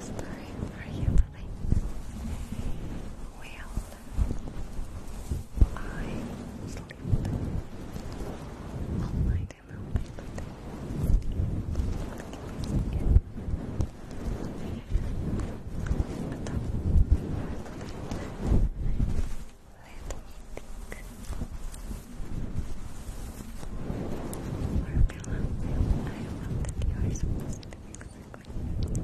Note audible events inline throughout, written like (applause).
Sorry for you, Lily. Well, I sleep all night and all day, but Потом Formula. I love that you are supposed to make something for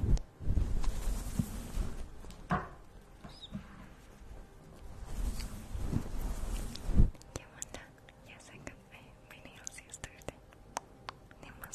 Thank you. You Yes, I got my, my nails yesterday. Name color.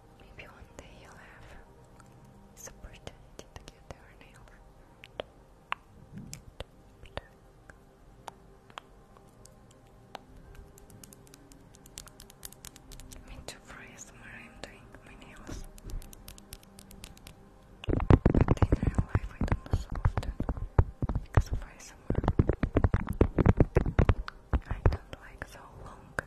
Maybe one day you'll have this opportunity to get your nail. Me too, for ASMR, I'm doing my nails. But in real life, I don't do so often because of ASMR. I don't like so long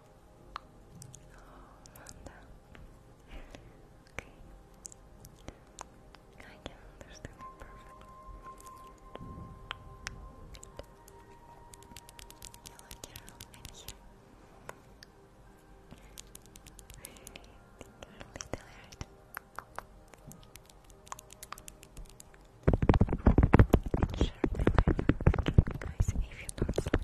Okay. I can understand it perfectly. Hello, Carol. I'm here. Share my life, guys, if you don't sleep.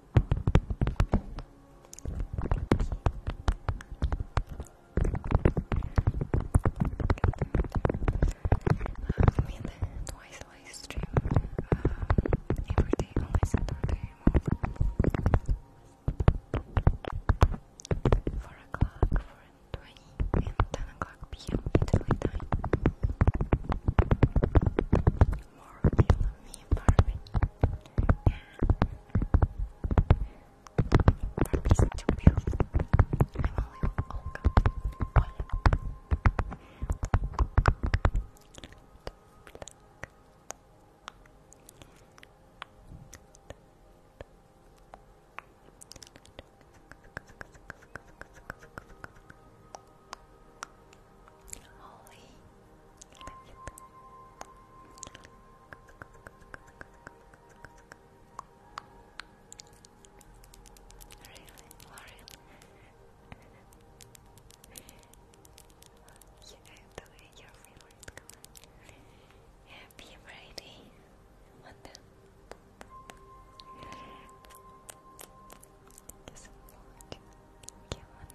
me and twice live every day on my Saturday 4 o'clock, 4 and 20 and 10 o'clock p.m. Italy time more of you love me Barbie yeah. Barbie's too beautiful I'm only a Olga Thank Holy, you. Really, Lauren? you your favorite color. Happy Friday. What the? a lot. Give one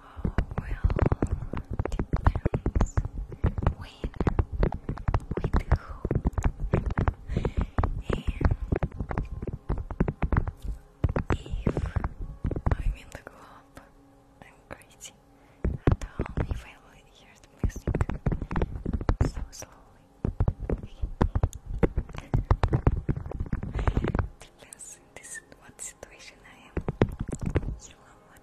well, depends when, with who, and if I'm the club, I'm crazy at home if I hear the music so slowly. Depends on this, what situation I am. You are one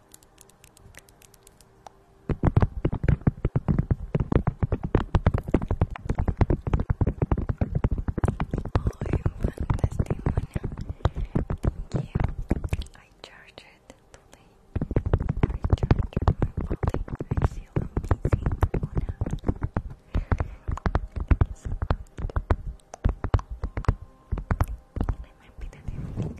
Thank you. I charged it today. I charged my body. I feel amazing. Thank you so much. I be the okay.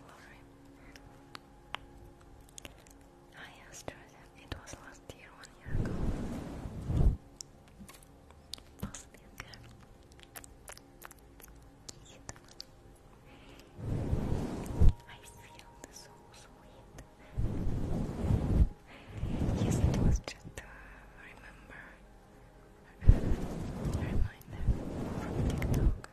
Lori. Hi Australia, it was last year, one year ago. Bosnian girl. I feel so sweet. Yes, it was just uh, reminder from TikTok.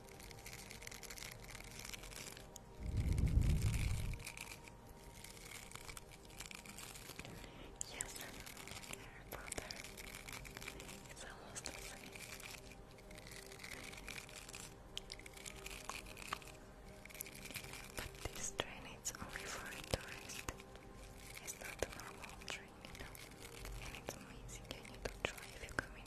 Yes, Harry Potter. It's almost the But this train it's only for a It's not a normal train, you And it's amazing. You need to try if you come in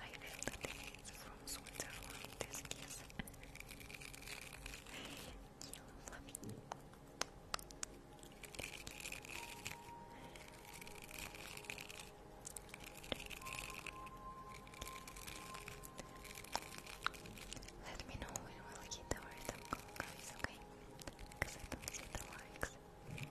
I really it's from Switzerland, this Let me know when we'll hit the random goal, okay? Because I don't see the likes. Thank you.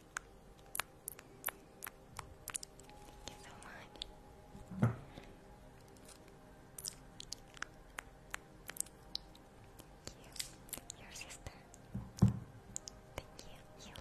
Thank you so much. Thank you. Your sister. Thank you.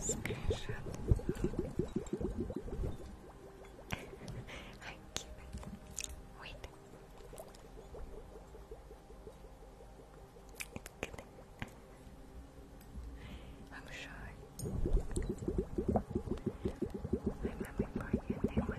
Screenshot. I keep it. Wait. It's good. I'm sure. I'm happy for you, David.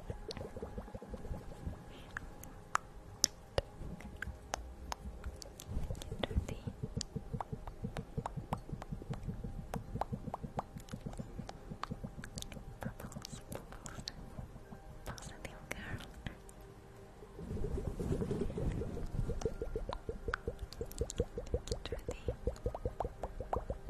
Bubbles, bubbles, positive girl. Trudy. Trudy.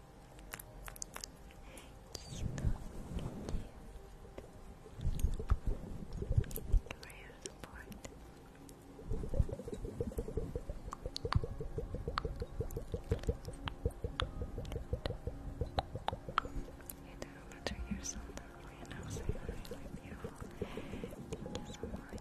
He's so cute. For your support. You do let your ears on that way and I'll say really beautiful. Thank you so much.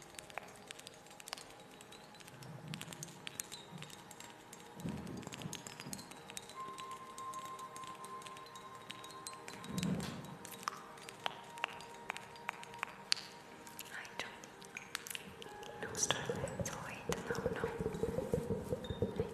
I don't know starlight, so wait, no, no. I think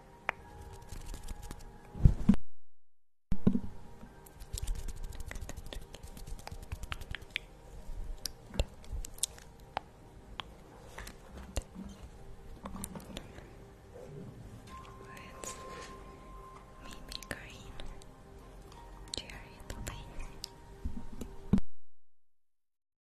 Words. Maybe green. Cherry, please.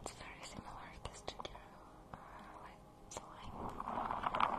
It's very similar to studio, uh, like slime.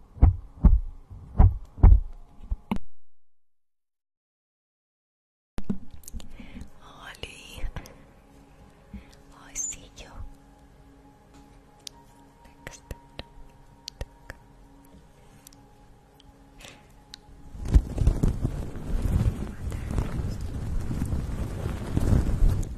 Oli. I see you. Next. Mother.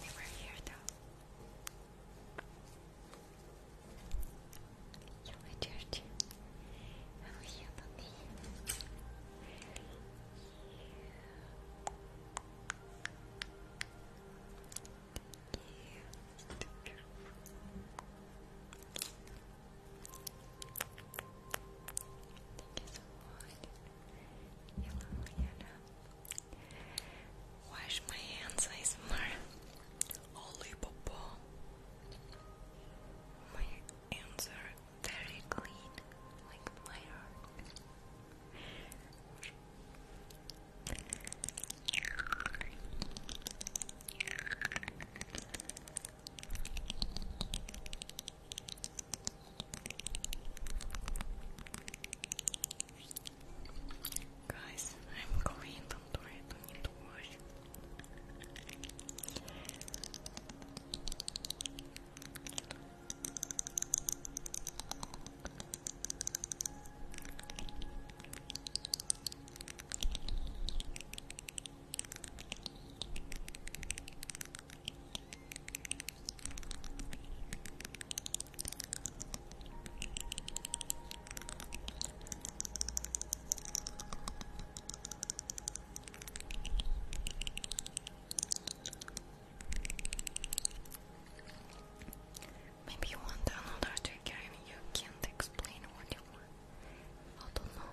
They were here though. You were dirty. I will heal on me. Thank you Wash my hands, I smart. Holy popo. My hands are very clean, like my heart. Guys, I'm going, do don't need Maybe you want another trigger and you can't explain what you want. I don't know.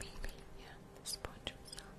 Maybe, yeah, this point was out.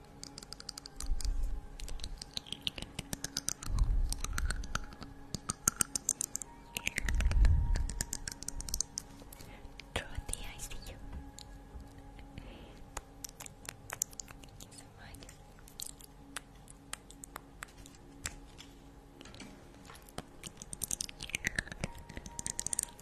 Trotty, I see you. Thank you so much.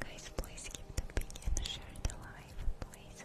Guys, please keep the big and share the live, please.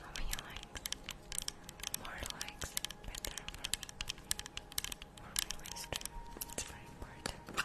How many likes? More likes, better for me. For me, It's very important.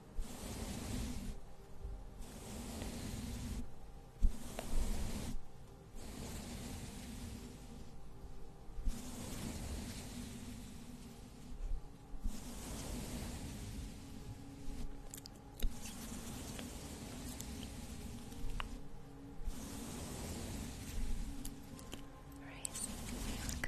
Raising America.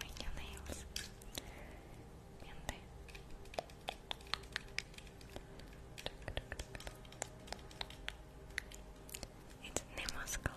Make your nails. It's Nemo's color.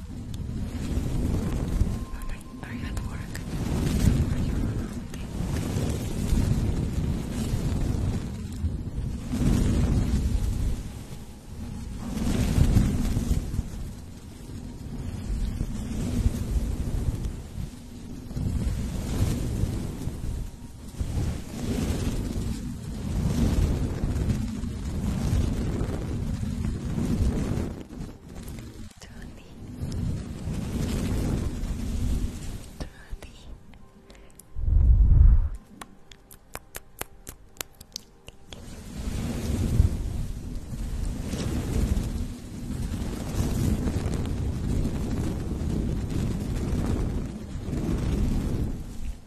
Are, are you at work? Tony, Tony.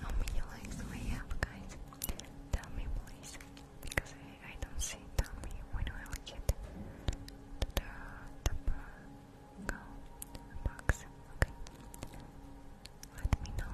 How many likes do I have, guys? Tell me, please because I, I don't see Tommy when i get to the top box. let me know.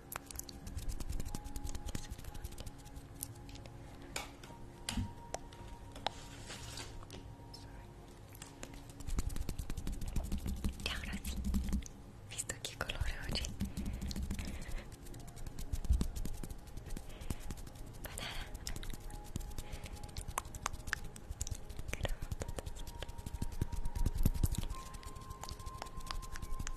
Ciao ragazzi, visto che colore oggi? Banana Crop.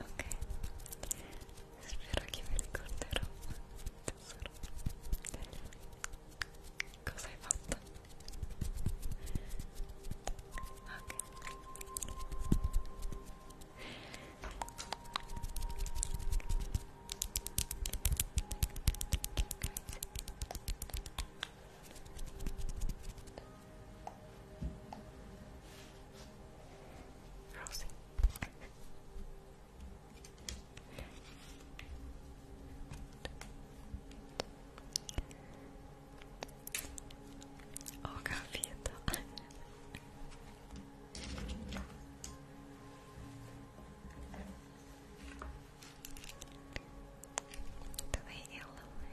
ok spero che mi ricorderò tesoro cosa hai fatto ok ok Rosie. Ho capito. Dov'è il lavoro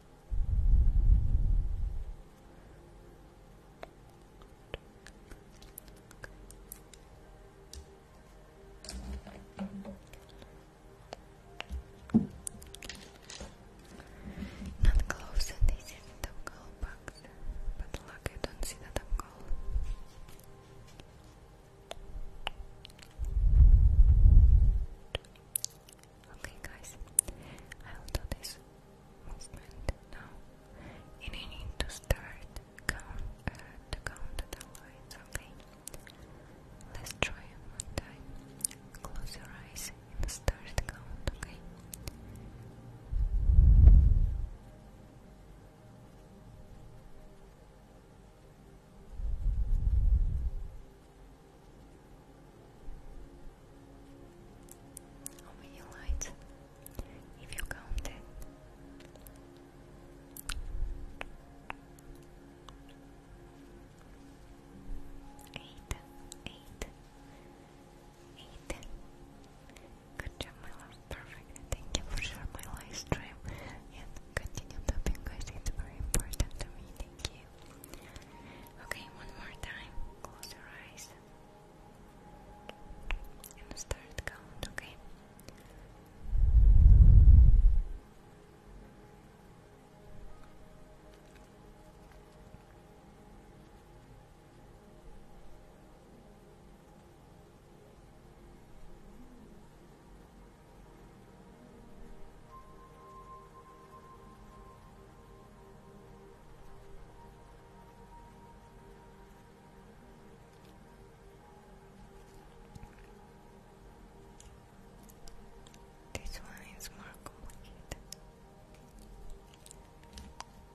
Not close, and this not a goal but luck, I don't see that I'm goal. Okay, guys, I will do this movement now, and need to start count uh, to count the lights. Okay, let's try one time. Close your eyes and start count. Okay. How many lights? If you count it. Eight, eight, eight. Good job, my love. Perfect. Thank you for my live stream and continue tapping guys. It's very important to me. Thank you. Okay, one more time. Close your eyes and start count, Okay, this one is more complicated.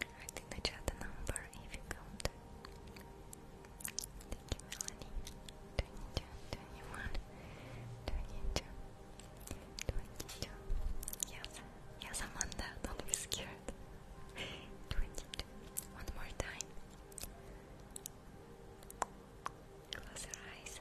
I think I chat the number if you count. Thank you, Melanie. 22. Yes, yes, Amanda, don't be scared. 22. One more time. Close your eyes.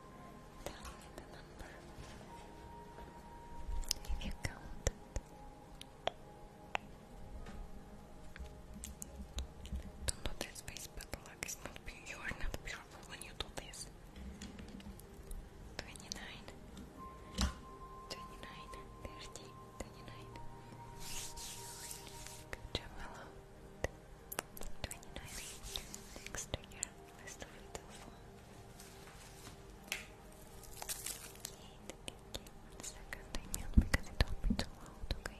Tell me the number. If you count Don't do this face, but luck is not beautiful when you do this. 29 Good job, hello 29 next year Let's do che one second, I because it will be too loud, okay?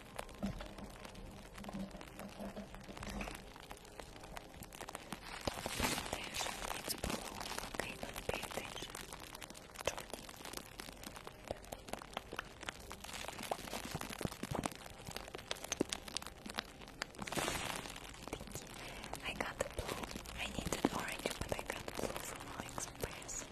Attention, it's I got the blue. I needed orange, but I got blue from AliExpress.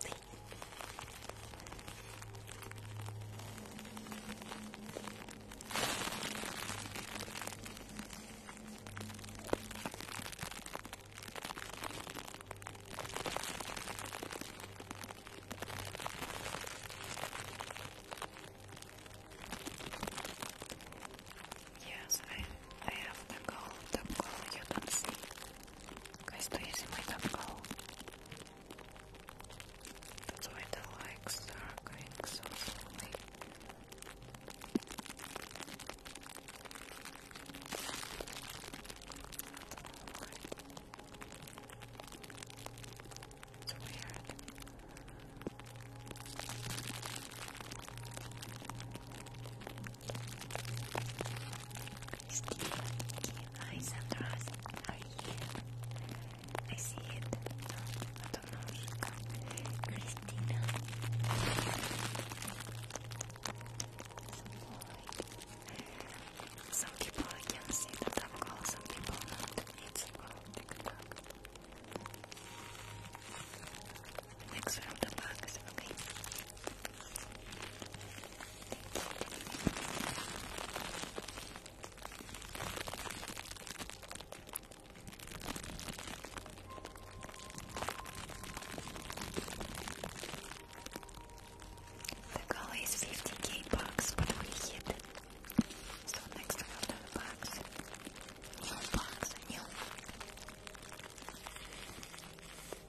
See? Yes, I, I have the gold, the gold you can see. Guys, please see my top That's why the likes are going so slowly. It's weird. Christine, hi Sandra, you? I see it. don't know. Christina. Some people can see the TikTok, some people not. It's about TikTok. Next round of bugs, okay? The goal is 50k bucks, but we hit it. So next we have the box. New box, new.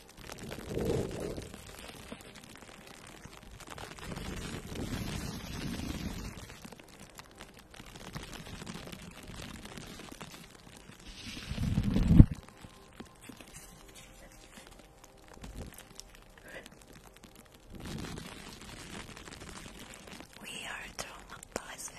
We are traumatized.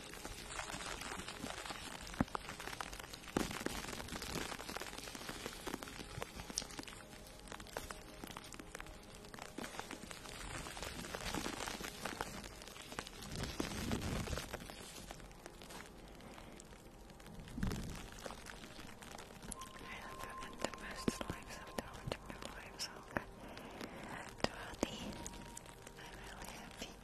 the best lives of the original lives. Okay. Twenty. I'm really happy.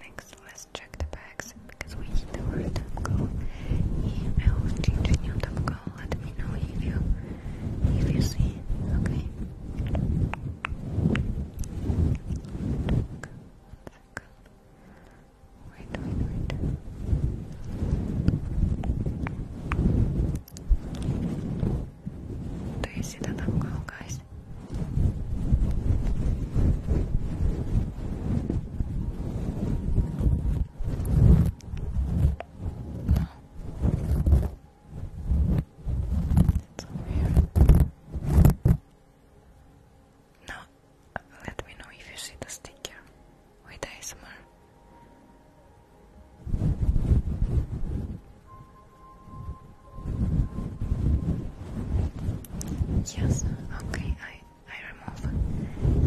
Next, let's check the bags because we need the word top go. Yeah, I will change a new top let me know if you if you see. Okay. Wait, wait, wait. Do you see that I'm going, it's let me know if you see the sticker with ASMR. Yes, okay, I I remove.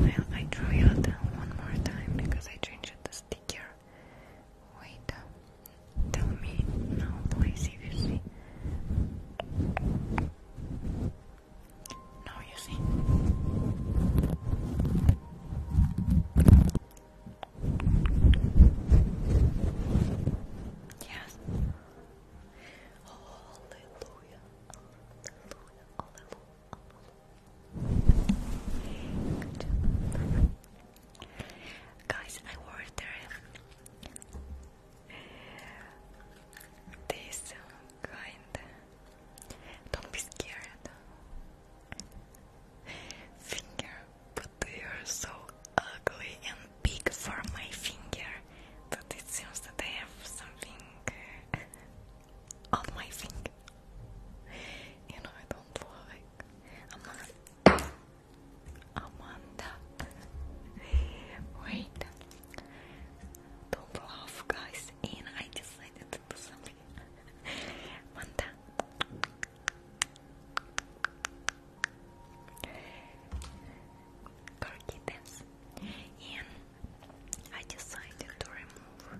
I I draw it one more time because I changed it this sticker. Wait, tell me now, please, if you see. Now you see. Yes. Hallelujah. Hallelujah. Hallelujah. Good job. Guys, I ordered this kind. Don't be scared. Finger, but they are so ugly and big for my finger that it seems that I have something on my finger. You know, I don't like Amanda. Wait. Don't laugh, guys. And I decided to do something. Amanda. Turkey dance. And I decided to remove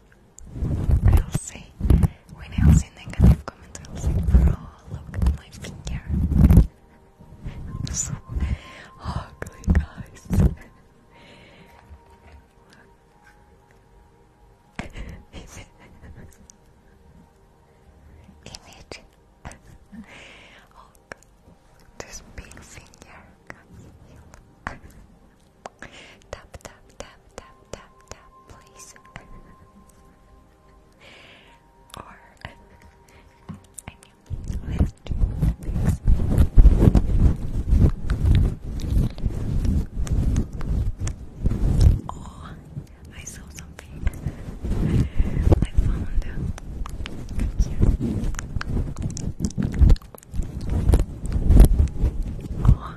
I'll say, when i see negative comments, I'll say, look at my finger. so ugly, guys. Image. oh, this big finger. tap, tap, tap tap, tap, tap, please. (laughs) or, I knew, let Oh, I saw something. I found Oh.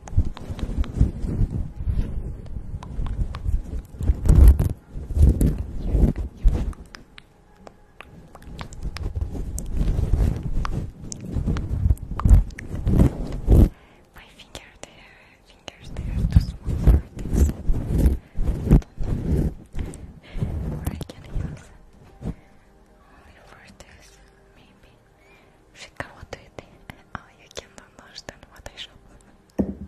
My finger there, fingers there are too small for this. I don't know where I can use. Only for this, maybe. She can what do you think? Oh, you can't understand what I show. Thank you.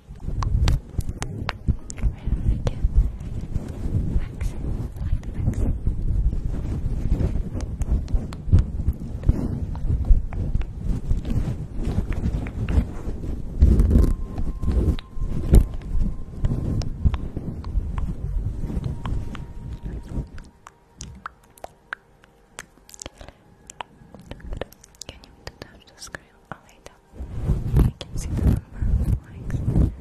you touch the screen? I'll wait I can see the number of likes. Thank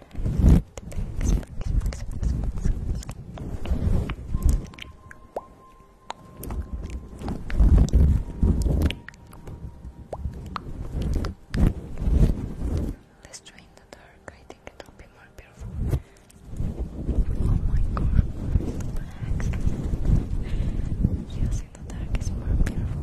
Let's try in the dark. I think it will be more beautiful. Oh my god, relax. Yes, in the dark is more beautiful.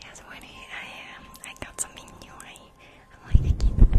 Yes, Winnie, I um, I got something new. I I (laughs) like it. to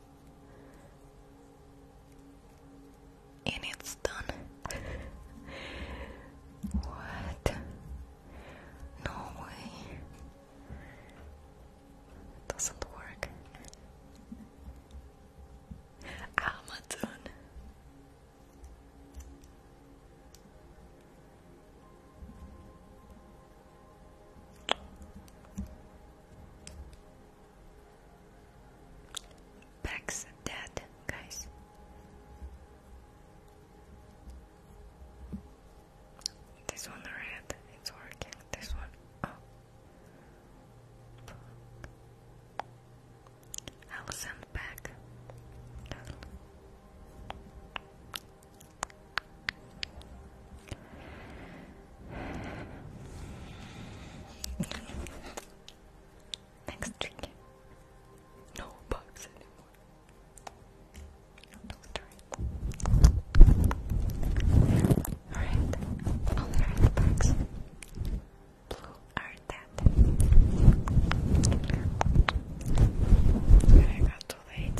And it's done. (laughs) what? No way. doesn't work. Amazon. Beck's dead, guys. This one red, it's working. This one, oh. I'll send back. Next trick. No bugs anymore. No, Alright, all the red bugs. Blue are dead. I got too late.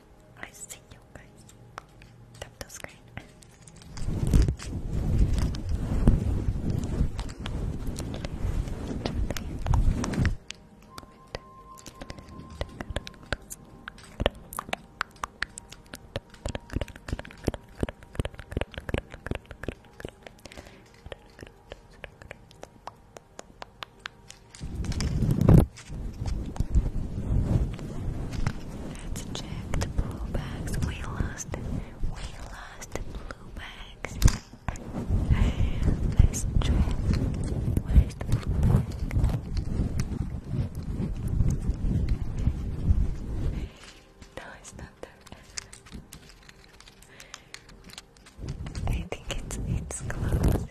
I see you guys. Tap the screen. Let's check the blue bags. We lost. We lost the blue bags. Let's check. Where is the blue bag? No, it's not there. I think it's it's close.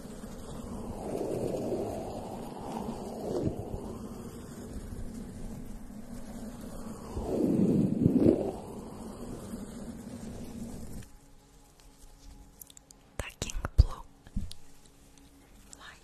Taking blue light.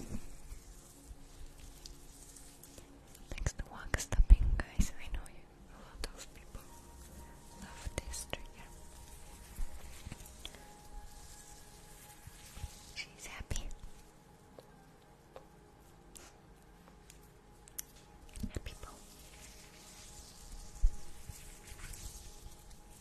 Thanks one is tapping, guys. I know you, a lot people love this trigger. She's happy. Happy bow.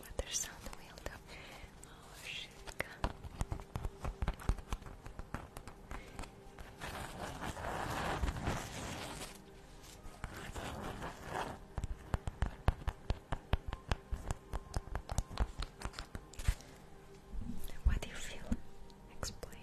Watersound Wild Małżynka What do you feel? Explain.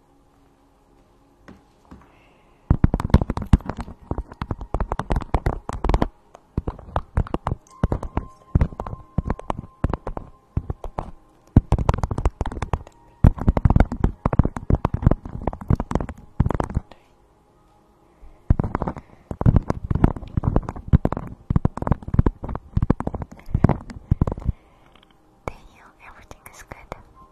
Daniel, everything is good.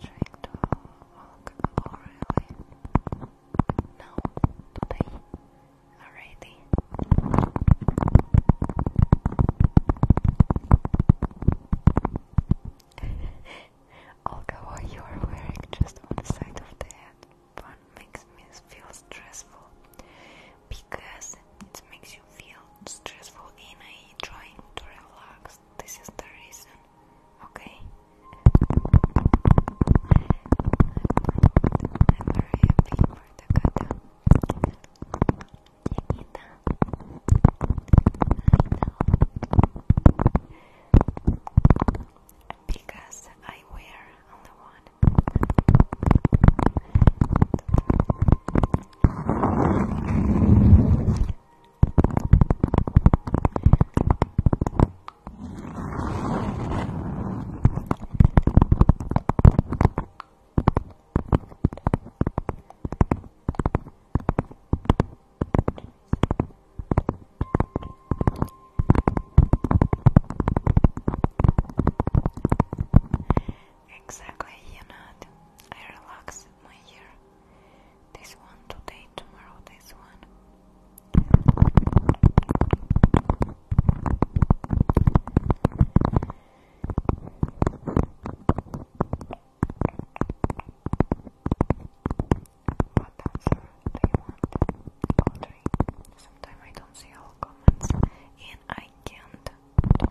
trying to walk orally. No, today already. (laughs) Olga, what you are wearing just on the side of the head one makes me feel stressful because it makes you feel stressful in trying to relax. This is the reason Okay. I'm very happy for the kata. Chiquita. I know. Because I wear only one. Exactly, you know, I relax my hair this one today, tomorrow, this one. What answer do you want? All Sometimes I don't see all comments and I can't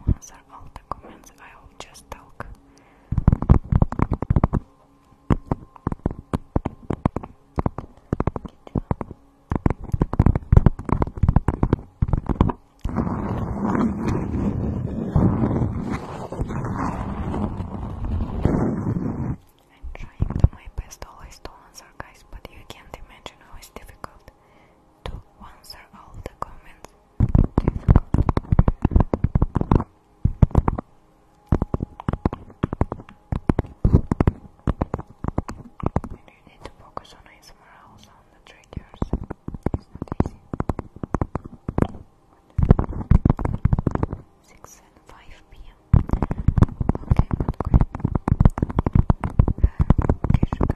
answer all the comments. I just talk. I'm trying to my best always to answer guys, but you can't imagine how it's difficult to answer all the comments. And you need to focus on ASMR also on the triggers. Six and five PM. Okay, but uh, Okay, sugar.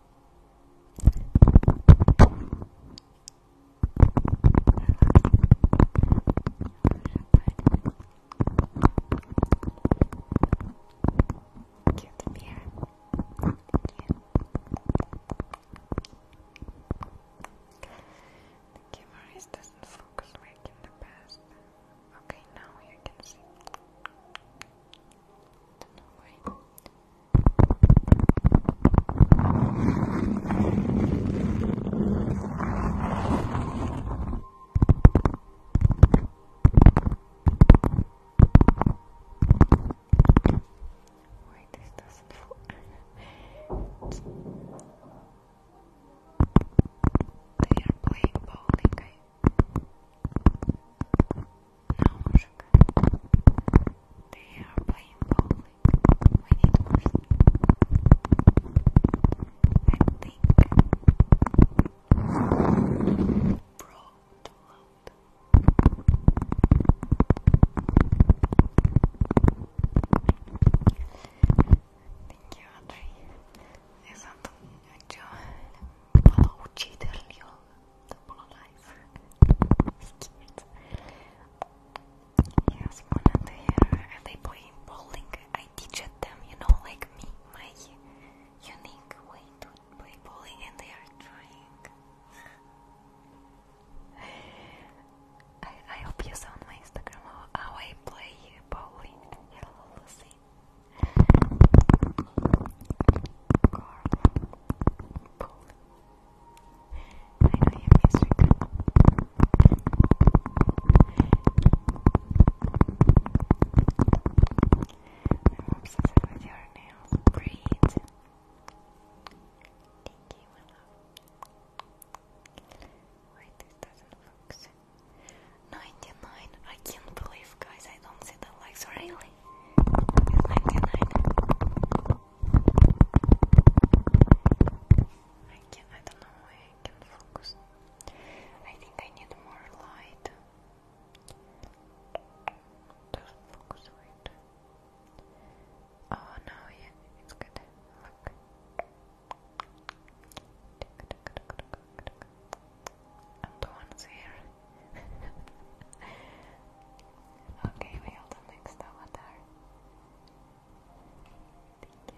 Cute to be here. Thank you. The camera is doesn't focus like in the past. Okay, now you can see. Don't this doesn't (laughs) They are playing bowling. I no sugar. They are playing bowling. We need more I think. Bro, too loud. Thank you, Andrei double alive. it's cute. Here's one and uh, they playing bowling? I teach them, you know, like me, my unique way to play bowling, and they are trying. I, I hope you saw my Instagram how I play bowling. Hello, Lucy. Carl, bowling. I am obsessed with your nails. Great. Thank you, Wait, this doesn't focus. 99. I can't believe, guys, I don't see the likes. Really? Good night, good I can I don't know I can focus. I think I need more light. Doesn't focus right. Oh no, yeah, it's good. Look. And the one's here okay, we have the next avatar. Thank you,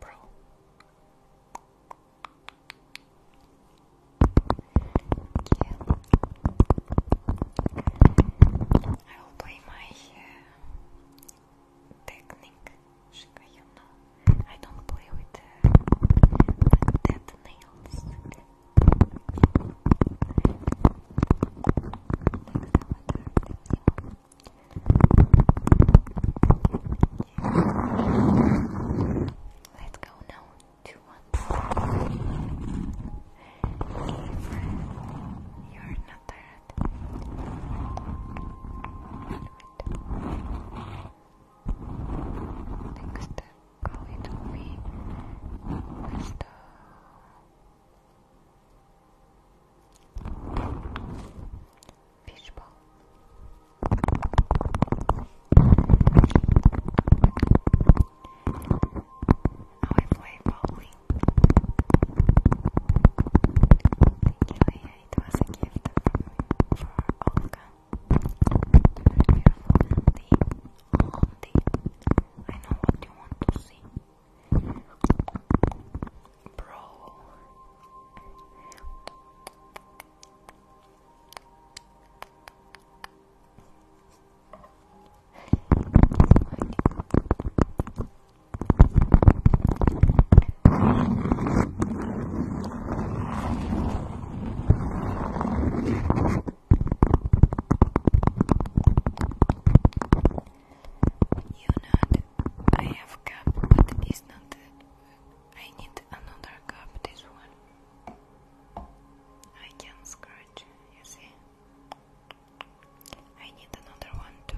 Bro. Thank you. I will play my uh, technique I don't play with uh, dead nails Let's go now to you're not tired uh, Next going to be Mr. Fishbowl. Now oh, I play ball lovely. Thank was a gift for, for Olga. I know what you want to see. Bro. Thank you, you know, I have cup, but it's not. The, I need another cup. This one. I can scratch. You see. I need another one to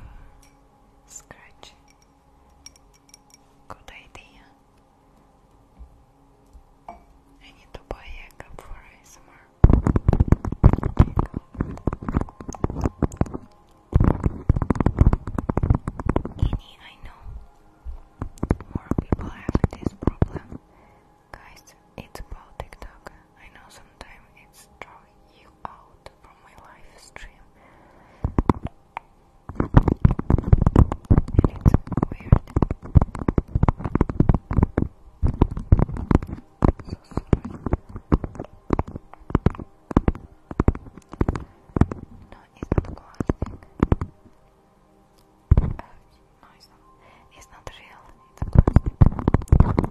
scratch. Good idea. I need to buy a cup for ASMR. Any, I know more people have this problem. Guys, it's about TikTok. I know sometimes it's drawing you out from my live stream. And it's weird. No, it's not plastic. Uh, no, it's not. It's not real.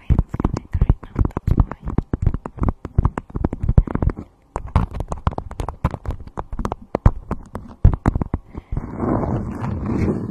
my hands connect right now, that's why. Thank you,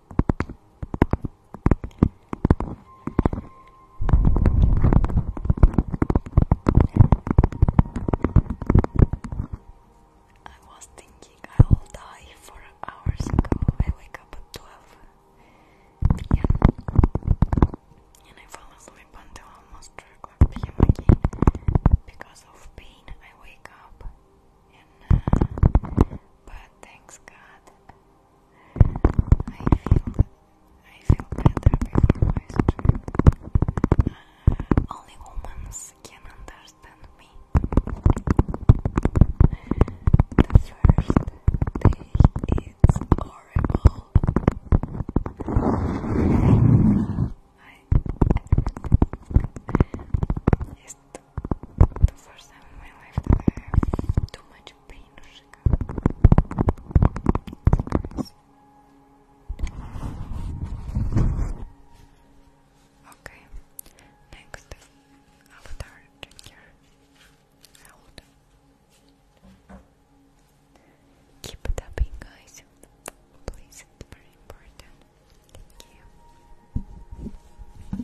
I was thinking I will die four hours ago. I wake up at 12 and I fall asleep until almost 3 again. Because of pain, I wake up and uh, but thanks God I feel I feel better before my uh, only humans can understand me. The first day it's horrible. I, it's the, first time in my life too much Okay, next avatar trigger. Hold. Keep tapping, guys. Please, it's very important. Thank you.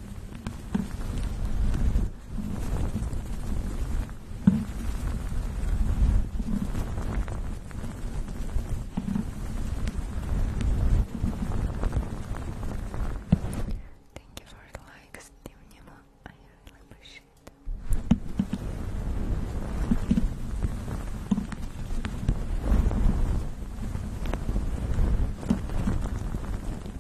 Thank you for the likes, Dimnimo. I really appreciate it.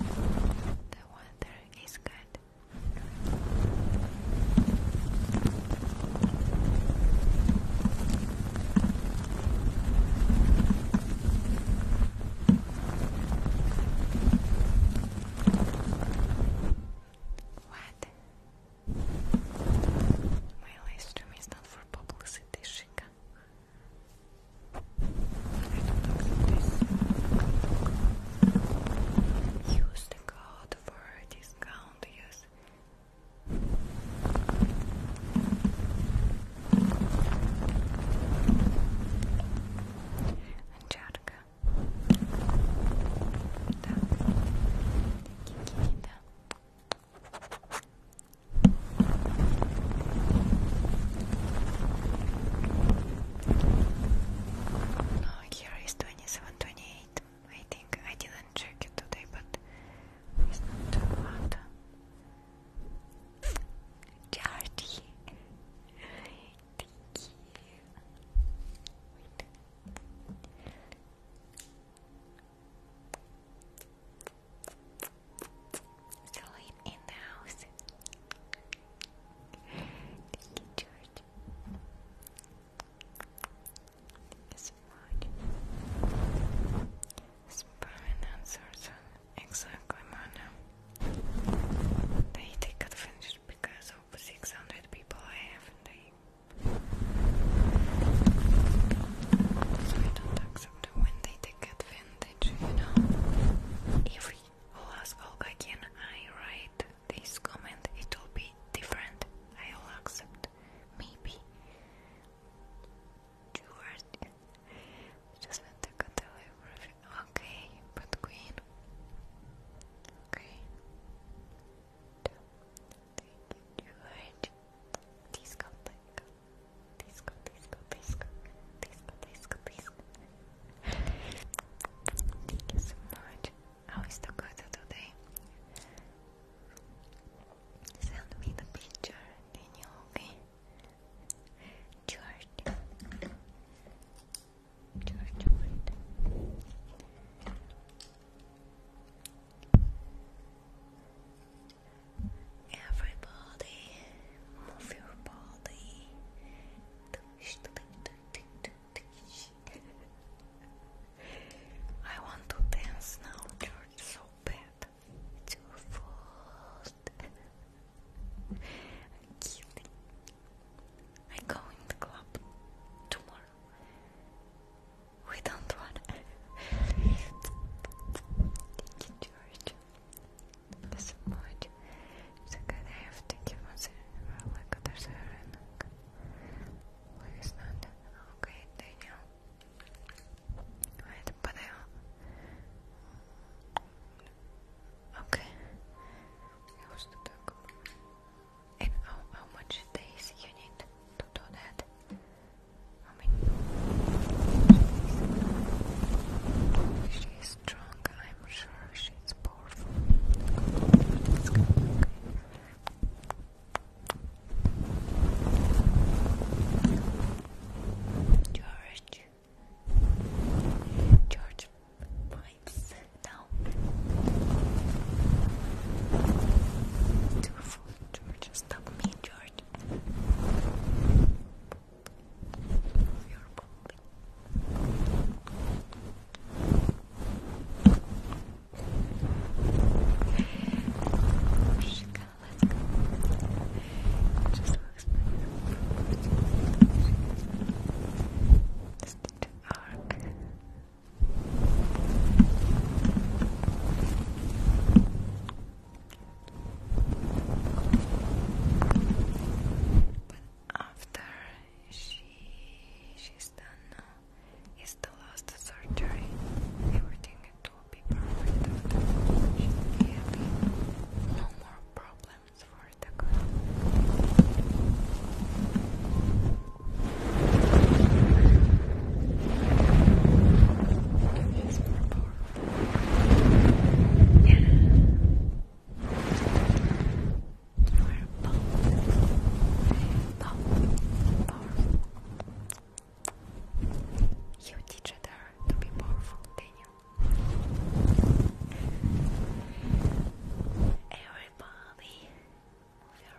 The water is good. What? My live is not for publicity, Shika. Use the code for discount. Use. Анчарка. No, here is 27, I think I didn't check it today, but it's not too hot. Charlie, thank you. Sleep in the house. Thank you, George. Smart. Spammen answers exactly, Mana. They take advantage because of 600 people have so I don't accept when they take advantage, you know. If I'll ask Olga again, I write this comment, it'll be different. I'll accept. Maybe. Stuart. Just want to cut Okay, but Queen. Okay. Thank you, Please go, please go. Please go, please go, please go. Please go, please go, please go. so much. How is the weather today? Send me the picture, okay? George. George, wait. Everybody, move your body. I want to dance now, George, so bad. Too fast. I go in the club tomorrow. We don't want (laughs) Thank you, George. So much. So good. I have to give us a like there's a Okay, Daniel. I. Okay. I was to how much days you need to do that? I mean, she is I'm sure she's powerful. George, George pipes down. George. Stop me, George. Lord, for your Let's go. Just looks Just to arc. Just but after she she's done uh, it's the last surgery. Everything will be perfect No more problems for the girl. It's purple. Yeah. Purple. Purple. Powerful. You teach her to be powerful, Daniel. Everybody, move your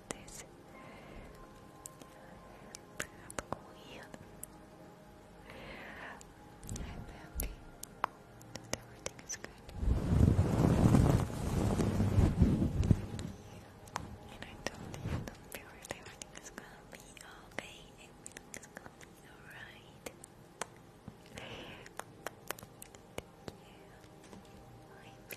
I'm everything is good. And I told you that everything is gonna be okay. Everything is gonna be alright. Thank you.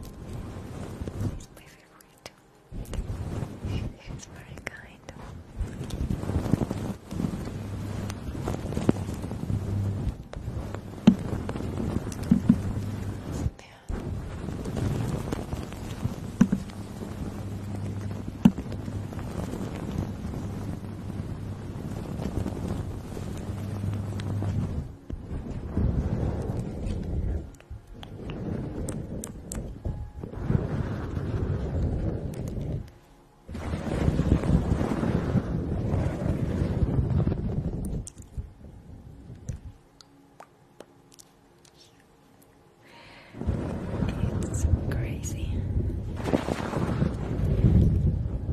He's my favorite. He's very kind. It's crazy.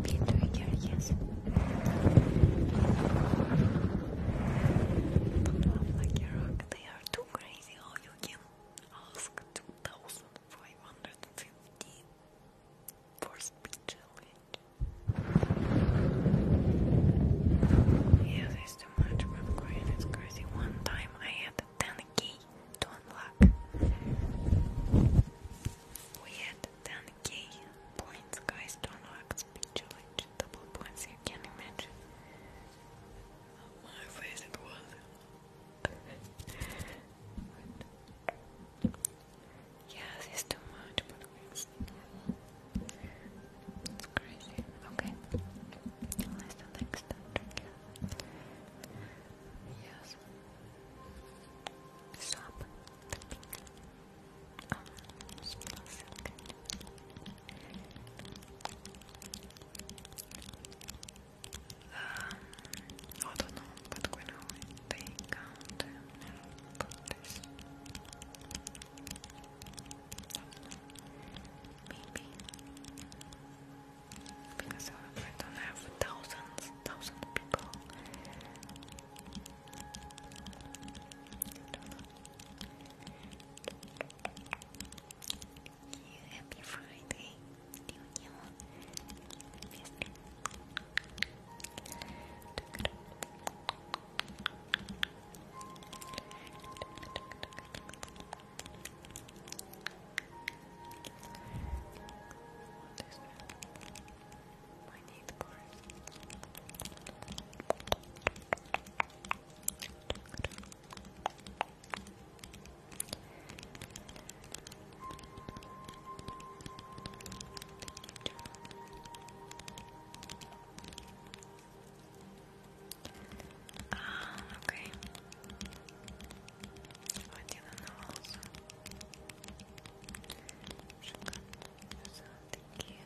Peter, yes. Like they are too crazy. How you can ask 2550 for challenge? Yeah, there's too much. i going. It's crazy. One time I had 10k to unlock. We had 10 gay points, guys don't know how double points, you can imagine my face it was. yeah, this too much, but it's normal. It's crazy. Okay, let's the next Yes. Stop. Oh, smells I don't know, but when I take out maybe because I don't have thousands, thousands of people. You happy Friday, you new Thank my teeth Ah, okay. Oh, I didn't know also. Шикарно. все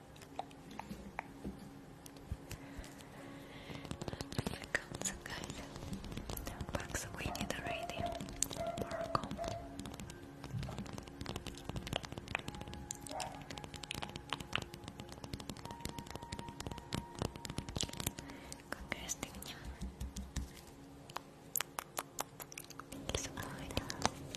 Afrikaanse geil. Bak we need a radio. Morocco. Какая стыдня. Thank you so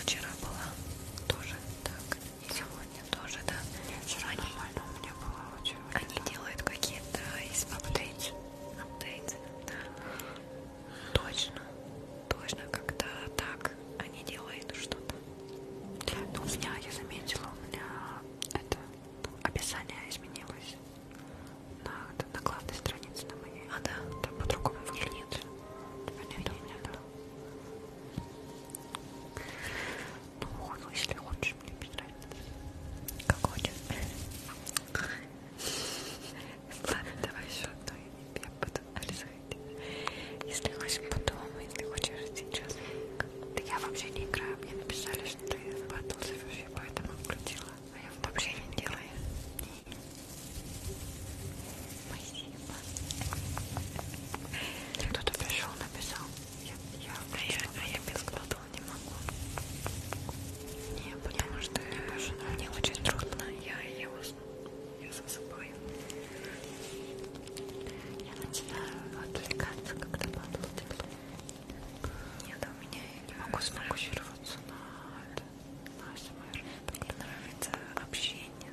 Вчера была тоже так. И сегодня тоже, да. Нет, вчера они, нормально у меня было очень. Они так. делают какие-то из апдейт. Апдейт, да. Точно. Точно, когда так они делают что-то. Ну, у меня, я заметила, у меня это описание изменилось. На, на главной странице на моей. А, да. Там по-другому. Нет, нет. Теперь нет, у меня, да. Ну, ну если лучше, мне не нравится. Как хочешь. Ладно, давай еще а одну, я буду рисовать. Если хочешь потом, если хочешь сейчас. Да я вообще не играю, мне написали, что ты в батл заверши, поэтому включила. А я вообще не делаю. Спасибо. Кто-то пришел, написал. Я, я, а я, а я без глотал не могу. Не, потому я, что мне больше Мне очень трудно. Я, я усну. Я засыпаю. Я начинаю отвлекаться, когда падало тепло. Нет, у меня я не могу сфокусироваться на это. На СМР. Мне нравится общение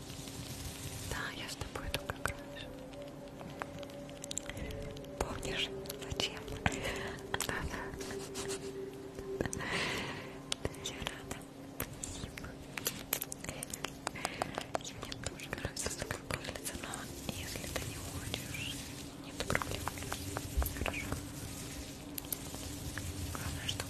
да, я с тобой иду как раньше. Помнишь, зачем? Да-да. Я рада. Спасибо. И мне тоже нравится такая кожица, но если ты не хочешь, нет проблем. Хорошо. Главное, чтобы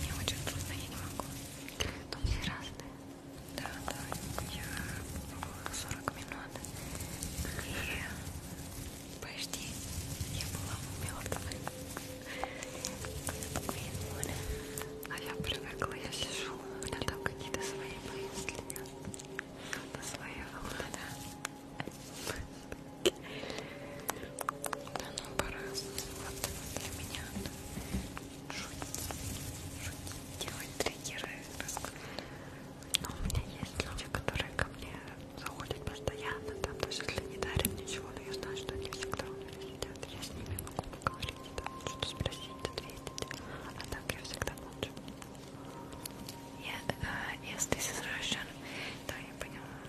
мне очень трудно, я не могу. Там все разные. Да, да, я была 40 минут. И почти я была мертвой. А я привыкла, я сижу, у меня там какие-то свои мысли. На своей волне, да. Оно по-разному. Вот для меня шутить, шутить, делать триггеры, но у меня есть люди, которые ко мне заходят постоянно, там даже если не дарят ничего, но я знаю, что они всегда у меня сидят. Я с ними могу поговорить, там, что-то спросить, ответить. А так я всегда молчу. Я, uh, yes, this is Russian. Да, я поняла.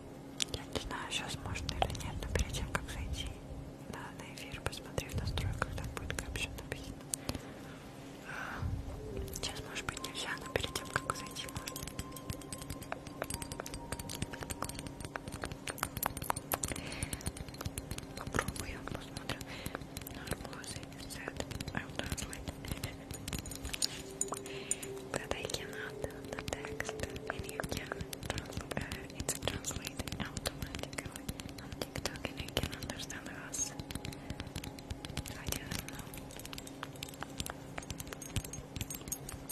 я не знаю, сейчас можно или нет, но перед тем, как зайти на, на эфир, посмотри в настройках, там будет капчу написано. Сейчас, может быть, нельзя, но перед тем, как зайти, можно. Попробую, посмотрю. But I cannot the text, and you can translate it's translated automatically on TikTok and you can understand us. I didn't know. us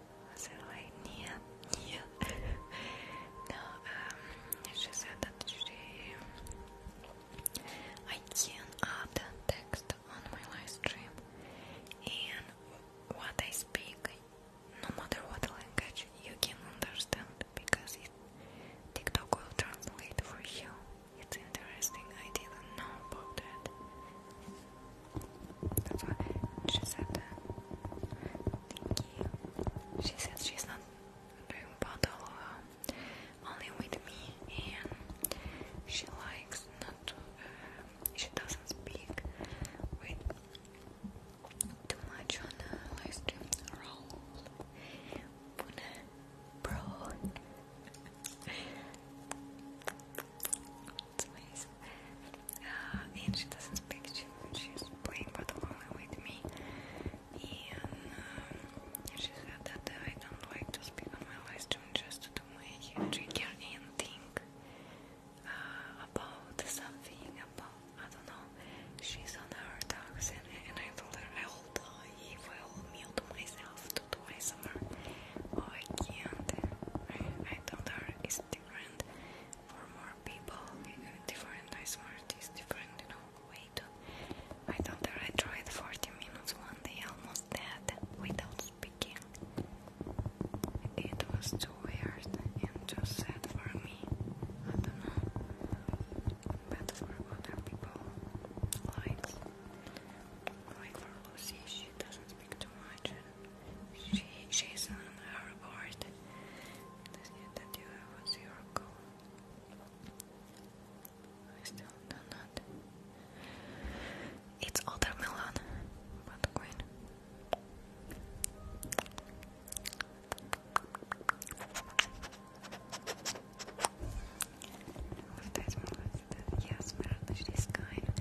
was it like she said that she... I can add text on my live stream and what I speak, no matter what language, you can understand because TikTok will translate for you. It's interesting, I didn't know about that. That's what she said. Thank She said she's not doing bottle only with me, and she likes not uh, she doesn't speak with too much on the uh, live Roll, bro. Uh, and she doesn't speak German, she's playing Batamala with me. Um, and she said that uh, I don't like to speak on my live stream just to do trigger and think about something, about, I don't know, she's on her dogs and, and I told her I'll die if will mute myself to do ASMR. I can't. I, I is different for more people. Different, I swear it is different, you know. Wait, I thought that I tried 40 minutes one day, almost dead, without speaking. It was too weird and too sad for me. I don't know. But for other people, like, like for Lucy, she doesn't speak too much she, she's on our board. That you have a zero I still do not. It's watermelon, but green. Yes, Merda, this kind.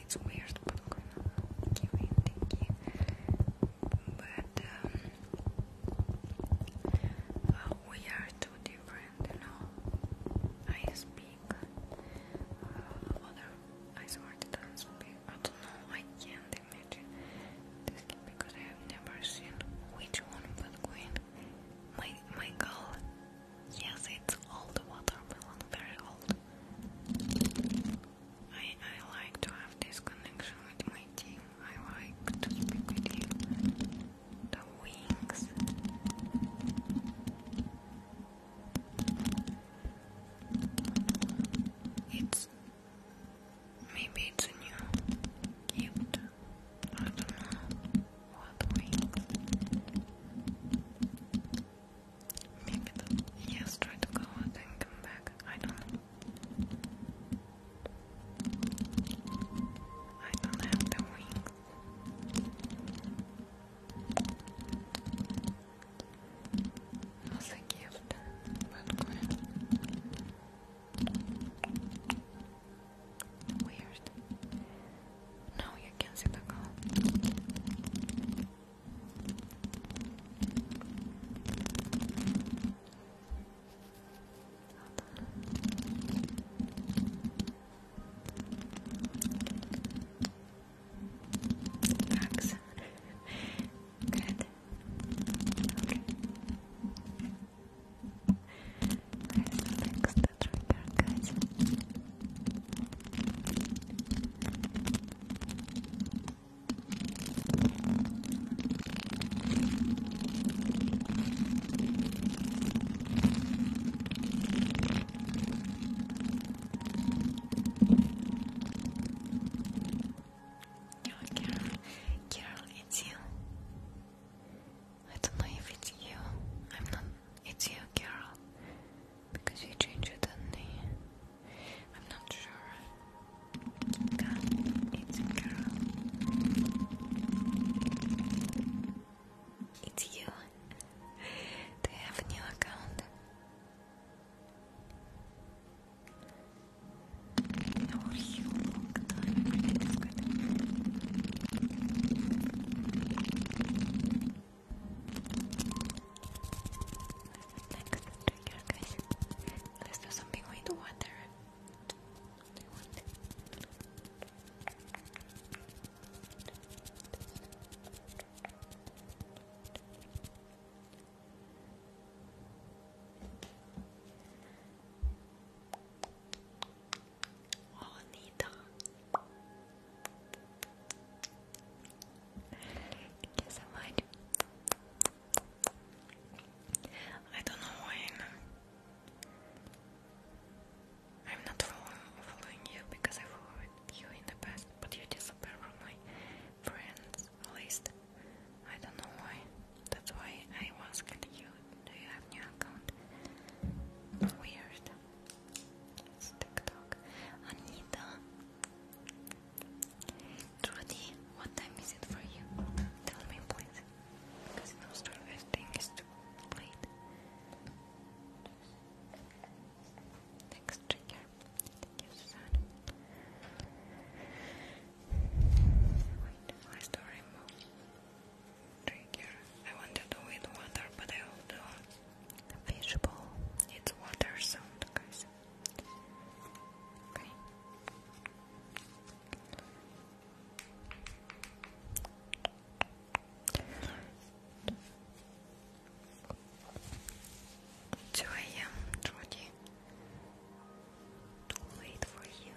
It's weird, but okay, thank you, But um, uh, we are too different, you know. I speak uh, other. I swear that I speak. I don't know. I can't imagine this because I have never seen which one will win. My my goal Yes, it's old watermelon, very old. I I like to have this connection with my team. I like to speak with you. The wings. It's maybe it's new gift. I don't know wobbling. Maybe the yes, try to go out and come back. I don't I don't have the wings. It a gift, but Weird. No, you can not see the car. Excellent. Good. Okay. I fixed the trigger, guys. Oh, Carol, Carol, it's you. I don't know if it's you. I'm not. It's you, Carol. Because you changed it, did I'm not sure. it's a girl. It's you. Do have a new account? How oh, you? Next Let's do something with water. you Oh, Nita. Thank I don't know when I'm not following you because I followed you in the past, but you disappeared from my friends list. I don't know why. That's why I was you. Do you have new account? Weird. TikTok. Anita. Trudy, what time is it for you? Tell me, please. Because in Australia, I think too late. Next trigger. Thank you, Susan. Wait, I still remove trigger. I wanted to with water, but I don't Fishbowl. It's water sound, guys. Okay. Two AM, Twenty. Too late for you.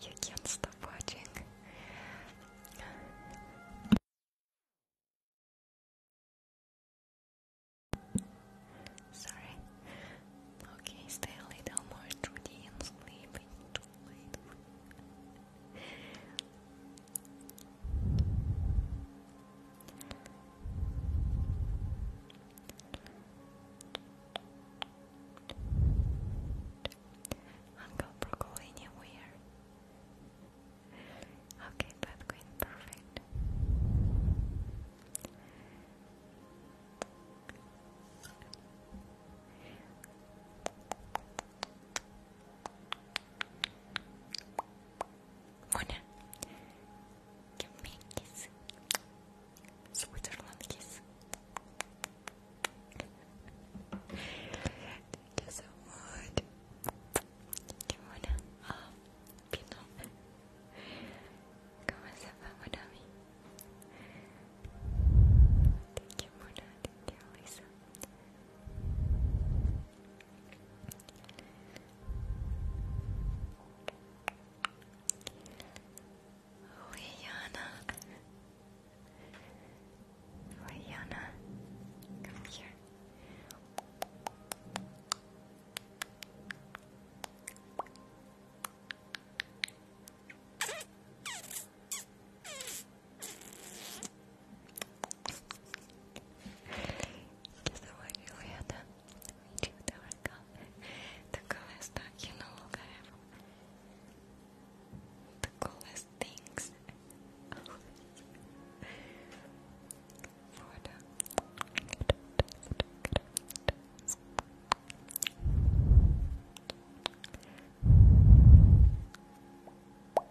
You can't stop watching. Sorry. Okay, stay a little more through the end, too late. Uncle Broccoli anywhere. Okay, bad queen, perfect. Mona, give me a kiss. Switzerland kiss. Thank you so much. Qué buena. Oh, qué nombre. ¿Cómo se va, Monami? Thank you, Mona. Thank Lisa. Rihanna, Rihanna, come here. Кисло The stuff you know I have. The coolest things. For the Thank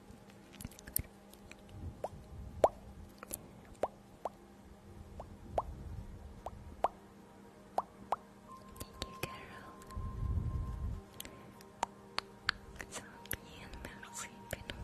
Thank you, Carol. Ça bien, merci, Benoît.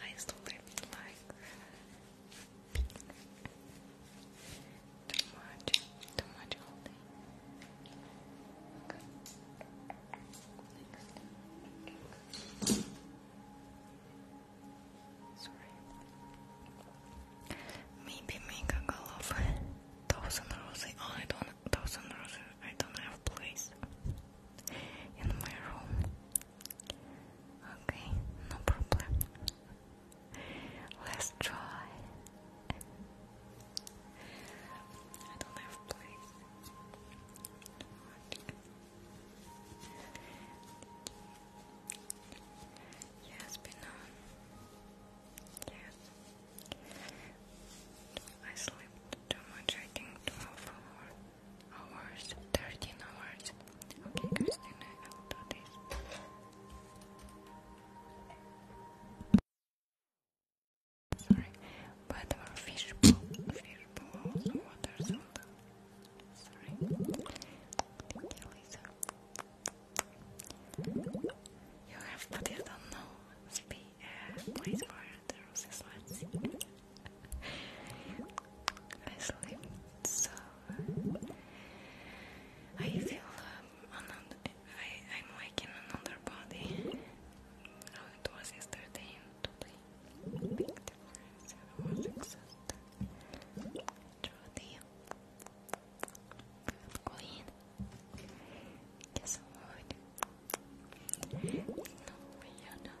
nice lips like Too much, too much holding. Sorry. Maybe make a call of thousand roses. Oh, I don't thousand roses. I don't have place in my room. Okay, no problem. Let's try. I don't have place. Yes, Pina. Yes. I slept too much, I think 12 hours, 13 hours. Okay, Christina, I will do this. Sorry, but our fish fish bowl also water Sorry. you, have put it on no space, uh, for the roses. let I sleep so. I feel um, another. I am like in another body. Oh, it was yesterday and Big difference. I was exhausted. Through the queen. Guess what? No, we are not.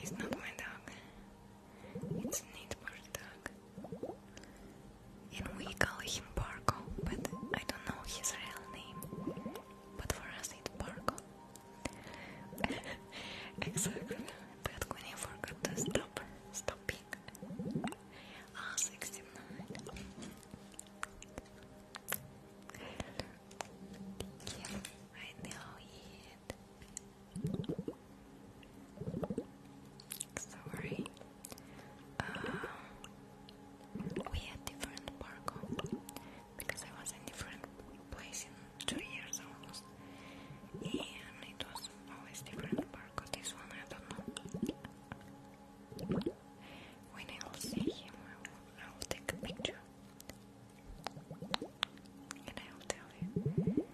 It's not my dog. It's neighbor's dog. And we call him Barco, but I don't know his real name. But for us it's Barco. (laughs) Exactly. I stop stopping. I know it. Sorry. we had different park because I was in different place in two years almost. And it was always different barcode. This one I don't know. When I'll see him, I will take a picture. And I'll tell you.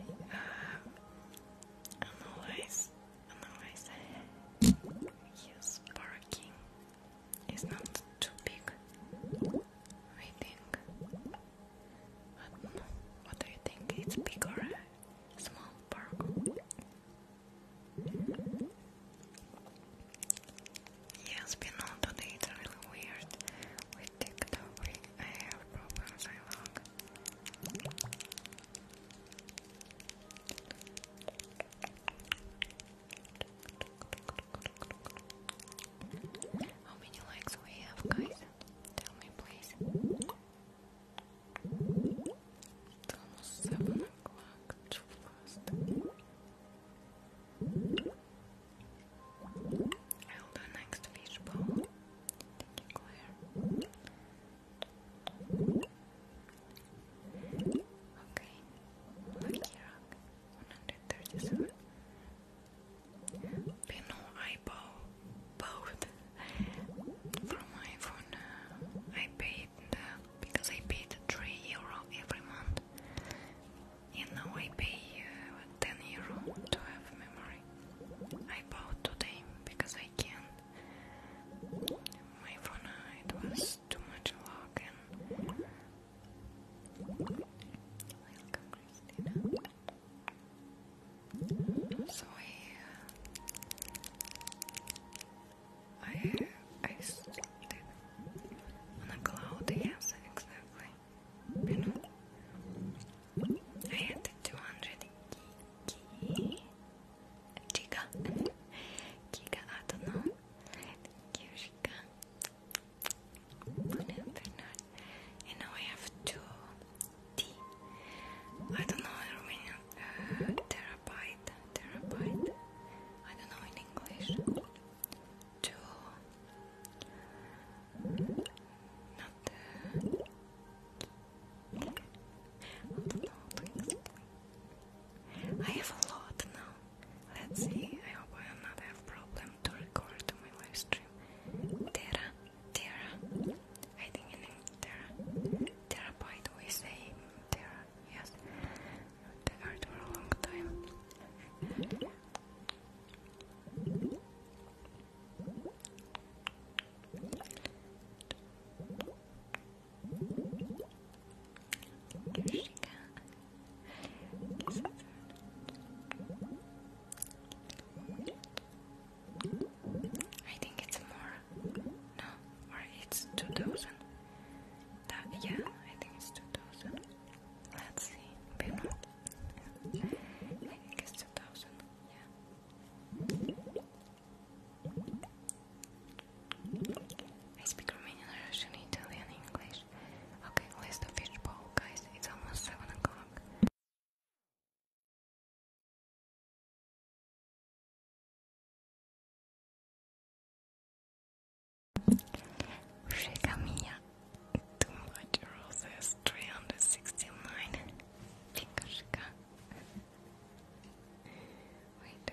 Uh, analyze, analyze. Yes, uh, barking is not too big. I think. What, what do you think? It's big small park? Yes, we know today really weird. With TikTok, I have problems. How many likes we have, guys? Tell me, please. almost 7 o'clock, too fast. I'll do next fishbowl. Thank you, Claire. Okay, Lucky Rock 137. Pino I bought from iPhone. Uh, I paid uh, because I paid three euro every month, and now I pay uh, ten euro to have memory. I bought today because I can. My phone it was too much lock Welcome, So I, uh, I, I stood on a cloud. Yes, exactly. You know, I had two hundred giga, giga. I don't know. Giga no, they're not. And now I have two D. I don't know in Romanian. Uh, terabyte, terabyte. I don't know in English. Two. Not. Uh, don't know I have a lot now. Let's see. I hope I will not have problem to record my live stream. Terra, Terra, I think you name Terra. Terra, by say Terra, yes. They heard for a long time. Kirshika, I think it's more. No, or it's 2000. yeah, I think it's 2000. Let's see. Maybe I think it's 2000. Yeah. I speak Romanian, Russian, Italian, English. Okay, where's the fish bowl, guys? It's almost seven o'clock. Regamia, too much roses, 369. Chica, chica. Wait.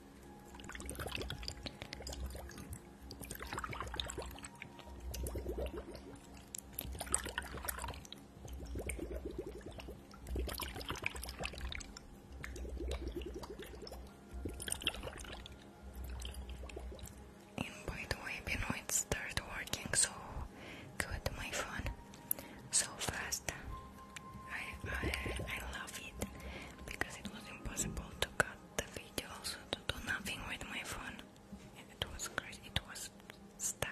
And by the way, Benoit it working so good, my phone, so fast. I, I, love it because it was impossible to cut the video, also to do nothing with my phone. It was crazy, it was stuck.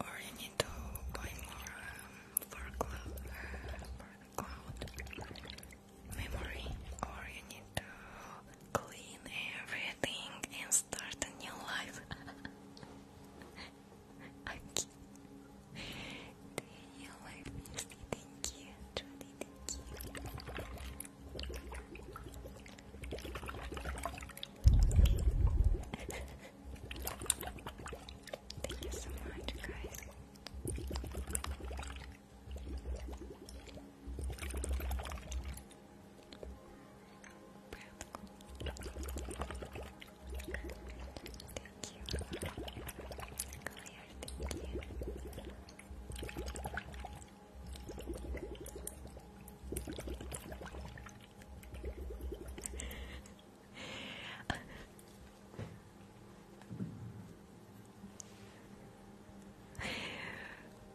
or you need to buy more for, the cloud memory, or you need to clean everything and start a new life. okay. Daniel, I thank thank you. Thank you so much, guys. Practical. Thank you. Claire, thank you.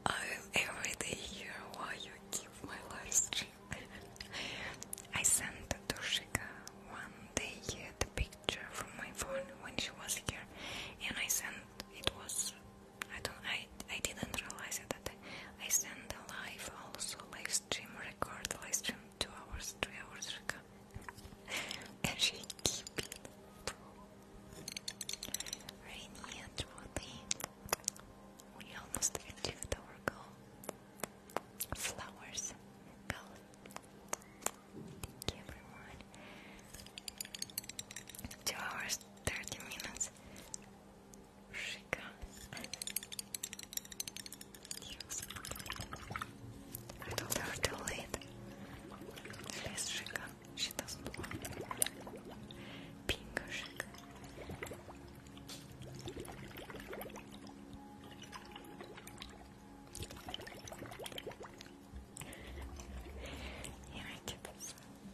I every day hear why you keep my live stream. I sent to one day the picture from my phone when she was here, and I sent it was I don't I I didn't realize it that I, I send a live also live stream record live stream two hours three hours record (laughs) and she keep it rainy and truly we almost achieved our goal flowers goal thank you everyone two hours 30 minutes I told her too Shika. She doesn't want Pink Shika. Yeah, I did this.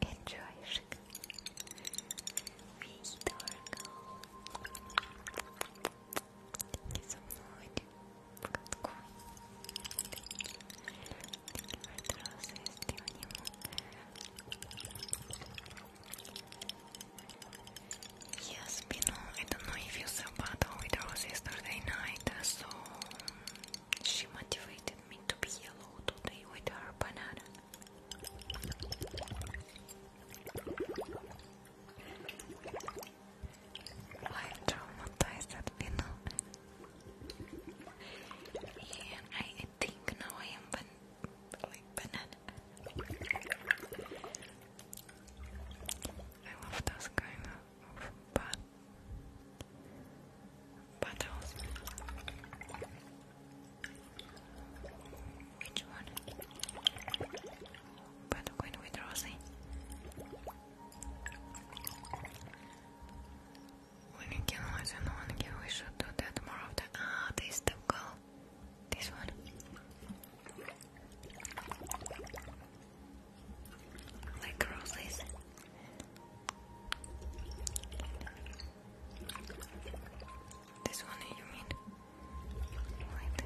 Enjoy, sugar. Be adorable. Thank you so much for the coin. Yes, Pino, I don't know if you saw but battle with roses yesterday night, so... She motivated me to be yellow today with her banana. I traumatized at Pino. And I think now I am like banana. I love those kind of bad bottles. Which one? But i with Rosie. When you kill one kill, we should do that more often. Ah, this the goal. This one. Like roses. This one you mean? Right.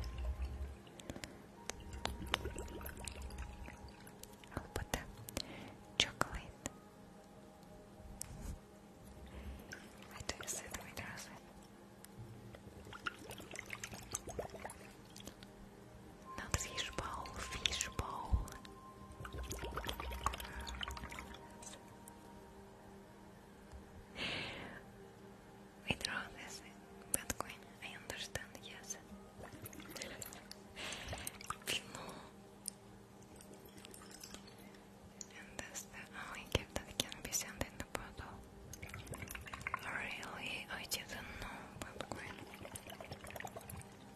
I'll put the chocolate. I do you see the Not fishbowl, fishbowl. Withdraw this Bitcoin, I understand, yes. no. And that's the only gift that can be sent in the bottle. Really? I didn't know, Bitcoin.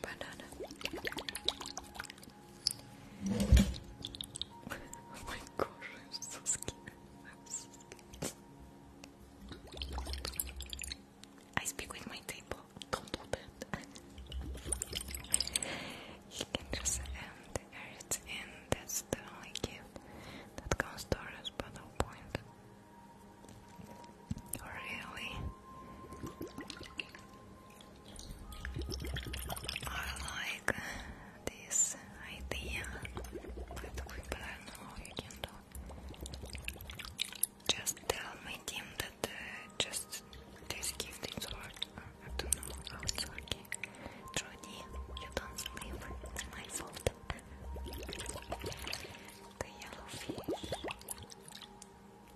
Banana. (laughs) oh my gosh, i speak with my table. Don't open. (laughs) you can just end that's the only gift that comes to us, but no point. Really? I like this idea that we plan all you can do. Just tell my that uh, just this gift is hard. I don't know how it's working. Trudy, you don't sleep. It's my fault. the yellow fish.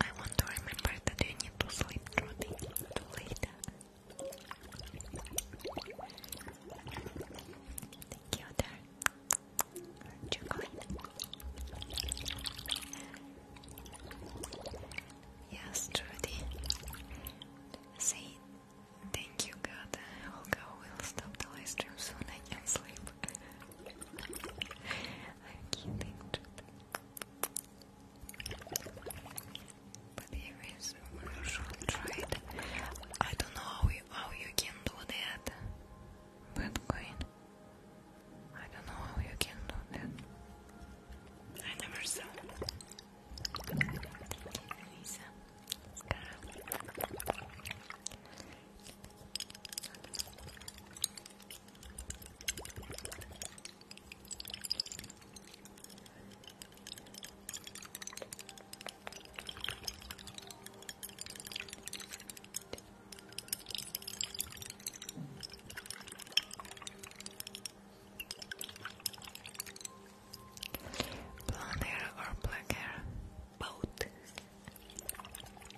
I want to remember that you need to sleep through the later. Thank you, there. Chocolate. Yes, Trudy. Say thank you, God. Olga will stop the live soon. I can sleep. I'm keeping to But here is I don't know how you, how you can do that. Bitcoin. I don't know how you can do that. I never saw. Blonde hair or black hair? Both.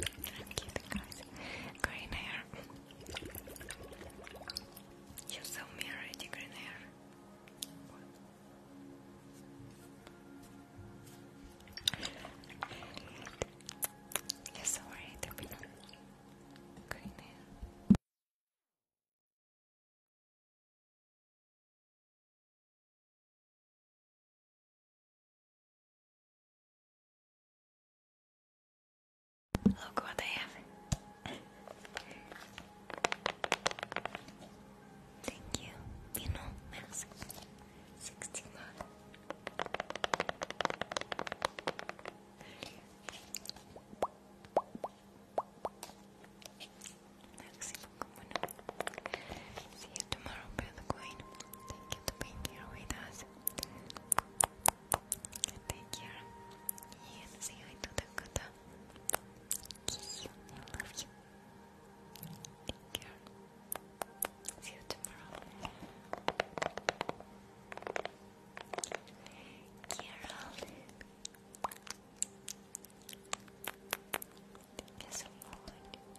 i guys. Green hair. You saw me already, green hair. You saw already, green hair. Look what I have. Thank you. You know, merci. 61. Merci See you tomorrow, Bella Queen. Thank you for being here with us. Take care. And say you. I Take care. See you tomorrow. Carol. Thank you so much.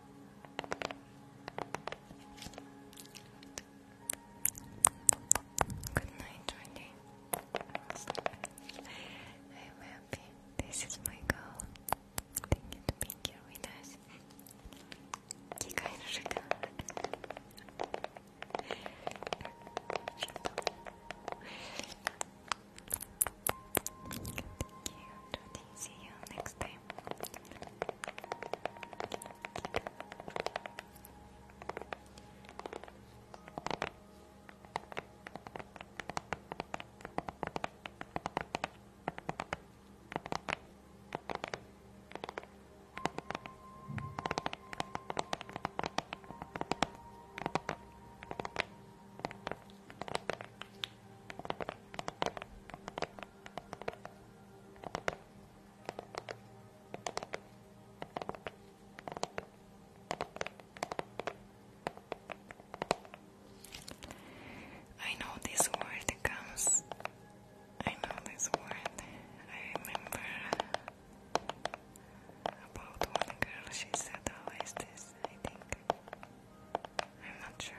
Good night, Wendy. I'm happy. This is my goal. Thank you to being here with us. Thank you. See you next time. I know this word comes. I know this word. I remember about one girl, she said always this, I think. I'm not sure.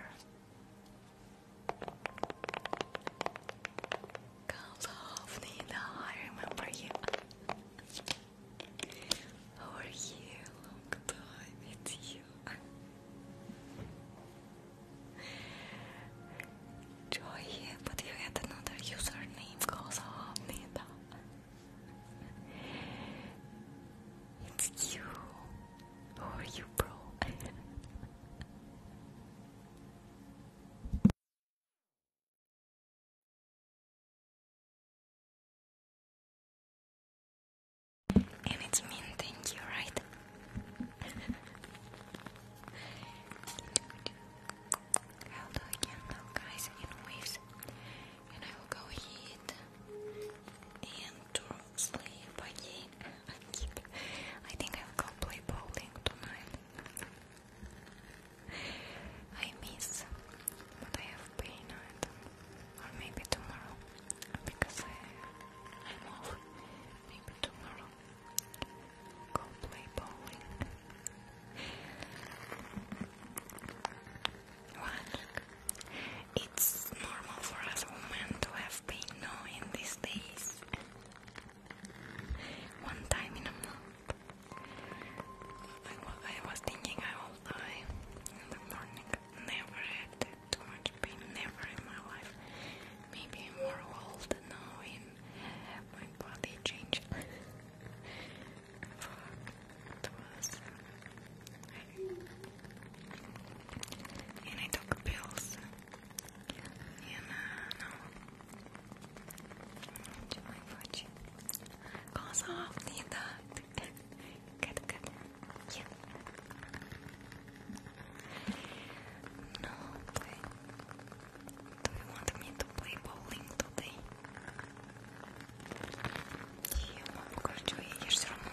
Kalov Nina, I remember you. How are Long time, it's you. Joy, but you had another username, Kalov Nina. It's you. Who oh, are you, bro? and it's mean, thank you, right? Hello again, though, guys, in waves. And I will go hit and turn sleep again. I keep. I think I'll go play bowling tonight. I miss what I have been at, or maybe tomorrow, because I'm off. Maybe tomorrow, go play bowling. One. It's normal for us women to have been in these days. One time in a month. I, was thinking I will die in the morning. Never had too much pain, never in my life. Maybe more old knowing my body changed. And I took pills. And uh, no. Чего хочу? Глаза не дают. Кэт, No, okay. Do you want me to play bowling today? Я вам покажу, я ешь равно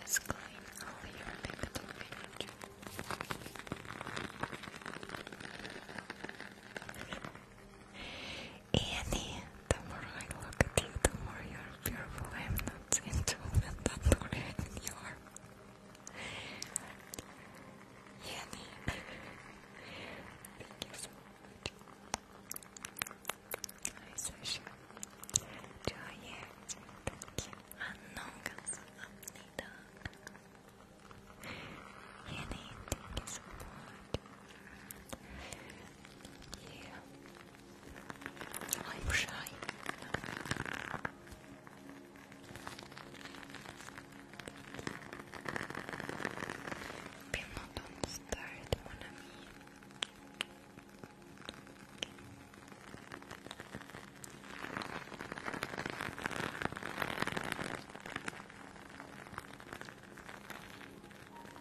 Let's clean all your negative energy. Annie, the more I look at you, the more you're beautiful. I'm not into (laughs) that, don't worry, you Annie, thank you so much. Hi, Sasha. Joye, thank you. Annongas, Annida. Annie, thank you so much. Yeah. I'm shy. People don't start one of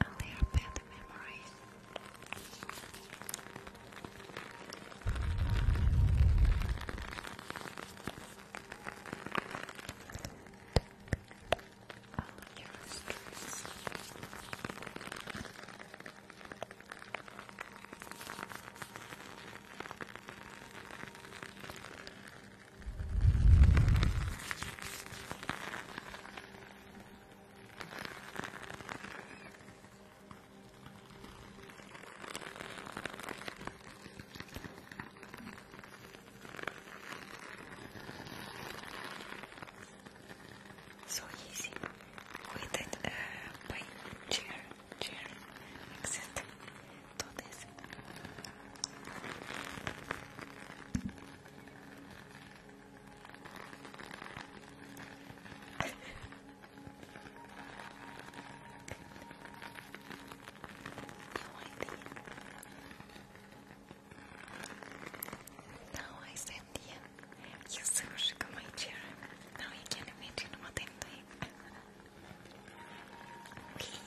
and their bad memories. All your stress. All So easy with it uh, by chair, chair, except to this. Now I send him. You shook my chair. Now you can imagine what I'm doing. Wee.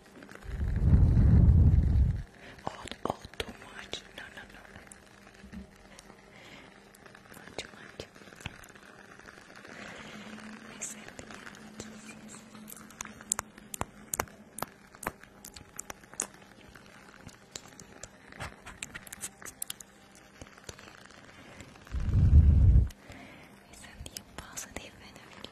All, too much. No, no, no. too much. I said yes, yes. you positive energy.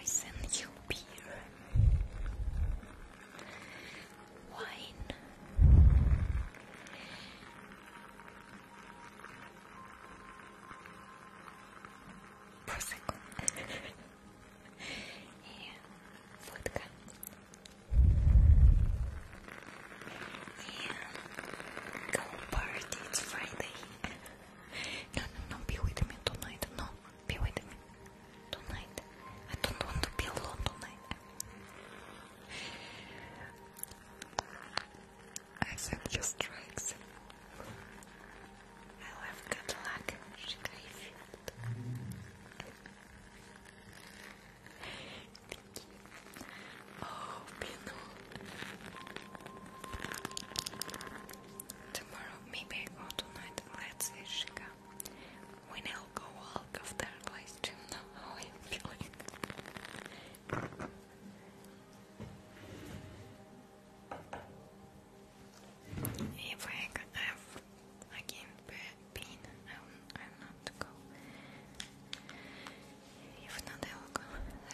I send you beer, wine, prosecco. (laughs) и go party, it's Friday. No, no, no, be with me tonight, no, be with me tonight. I don't want to be alone tonight. I said just drugs. I love good luck, you. Oh, Pino. Tomorrow, maybe I go tonight. Let's see, Shika. When I'll go out of that place, do you know how I'm feeling? If I have again been. I'll, not go. If not, I will go.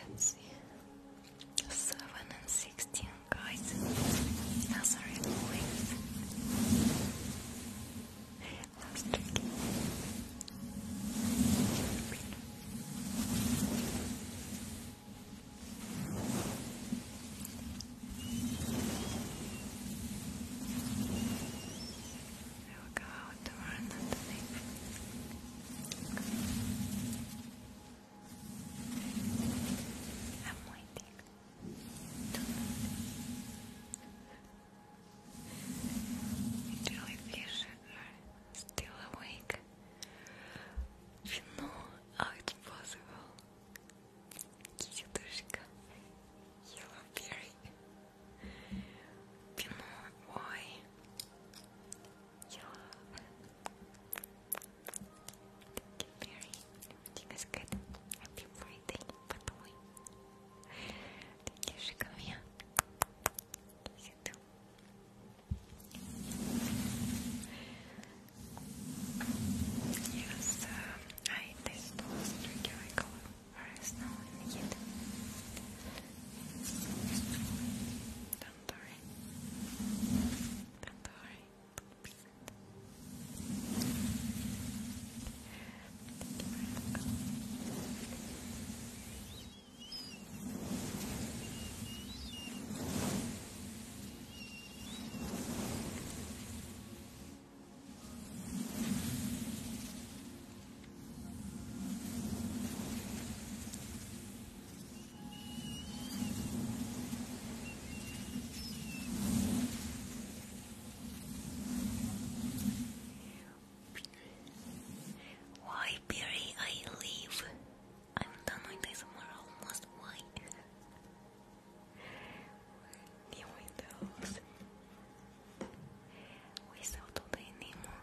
Let's see. 7 and 16, guys. Oh, sorry, always. Last trick. I will go out to run I'm waiting. Jellyfish are still awake. You know it's possible. Китюшка, You Pinoy, Ой, Yellowberry. У тебя скажет, happy birthday, потом. Китюшка моя, Китюшка. Yes, um, Ay, testo straight color. Whereas now I need it. Don't worry. Don't worry. Thank you why, Barry, I leave? I'm done with this tomorrow almost. Why? new windows. Without today anymore,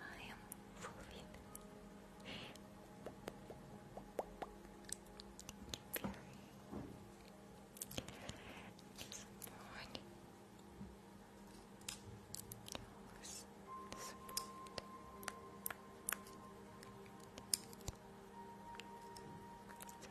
I am fulfilled.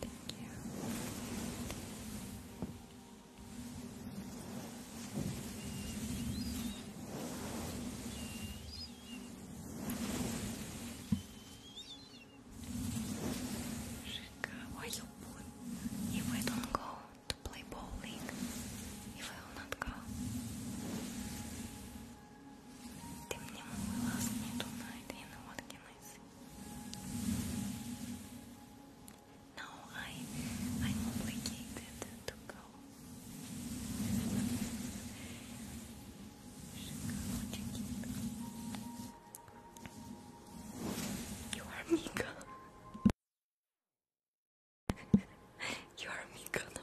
Thank you. If I don't go to play bowling, if I will not go. Ты мне мой лаз не tonight, you know what can I say? No, I, I'm obligated to go. You are Mika. (laughs) you are Mika. No?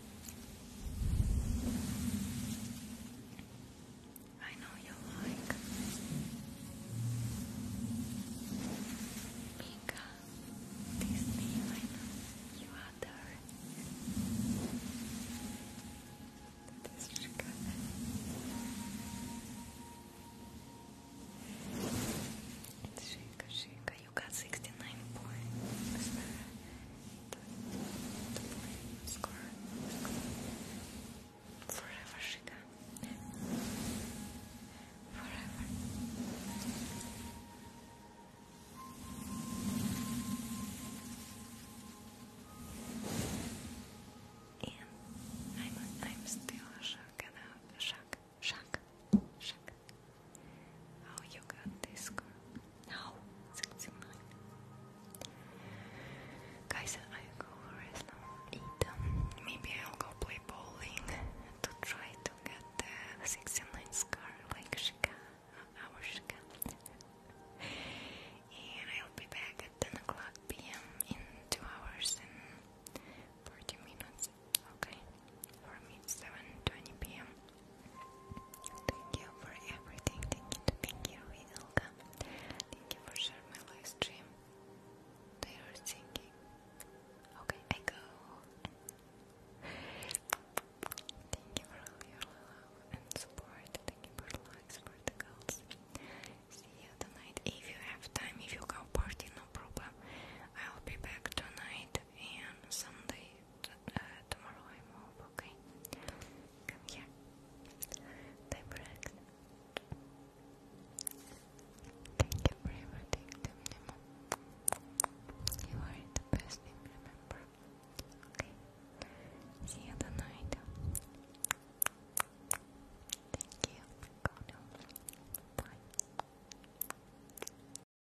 I know you like Mika Disney, I know you are there That is good Shake, shake, you got 69 points. Score. Forever, Shika. Forever. And I'm, I'm still shocked, shocked Shaka, shaka. Oh, you got Now, 69. Guys, I go rest now, um, maybe I'll go play bowling to try to get the 69 scar like Shaka, uh, our Shaka. and I'll be back at 10 o'clock p.m. in 2 hours and 40 minutes. Okay, for me it's 7.20 pm. Thank you for everything, thank you, thank you, Ilka. Thank you for sharing my live stream. They are thinking. Okay, I go. Thank you for all your love and support. Thank you for likes, for the girls. See you tonight. If you have time, if you go party, no problem. I'll be back tonight and Sunday uh, tomorrow okay? Come here. They break. Thank you for everything, the minimum. You are the best remember? See you tonight. Thank you. Bye.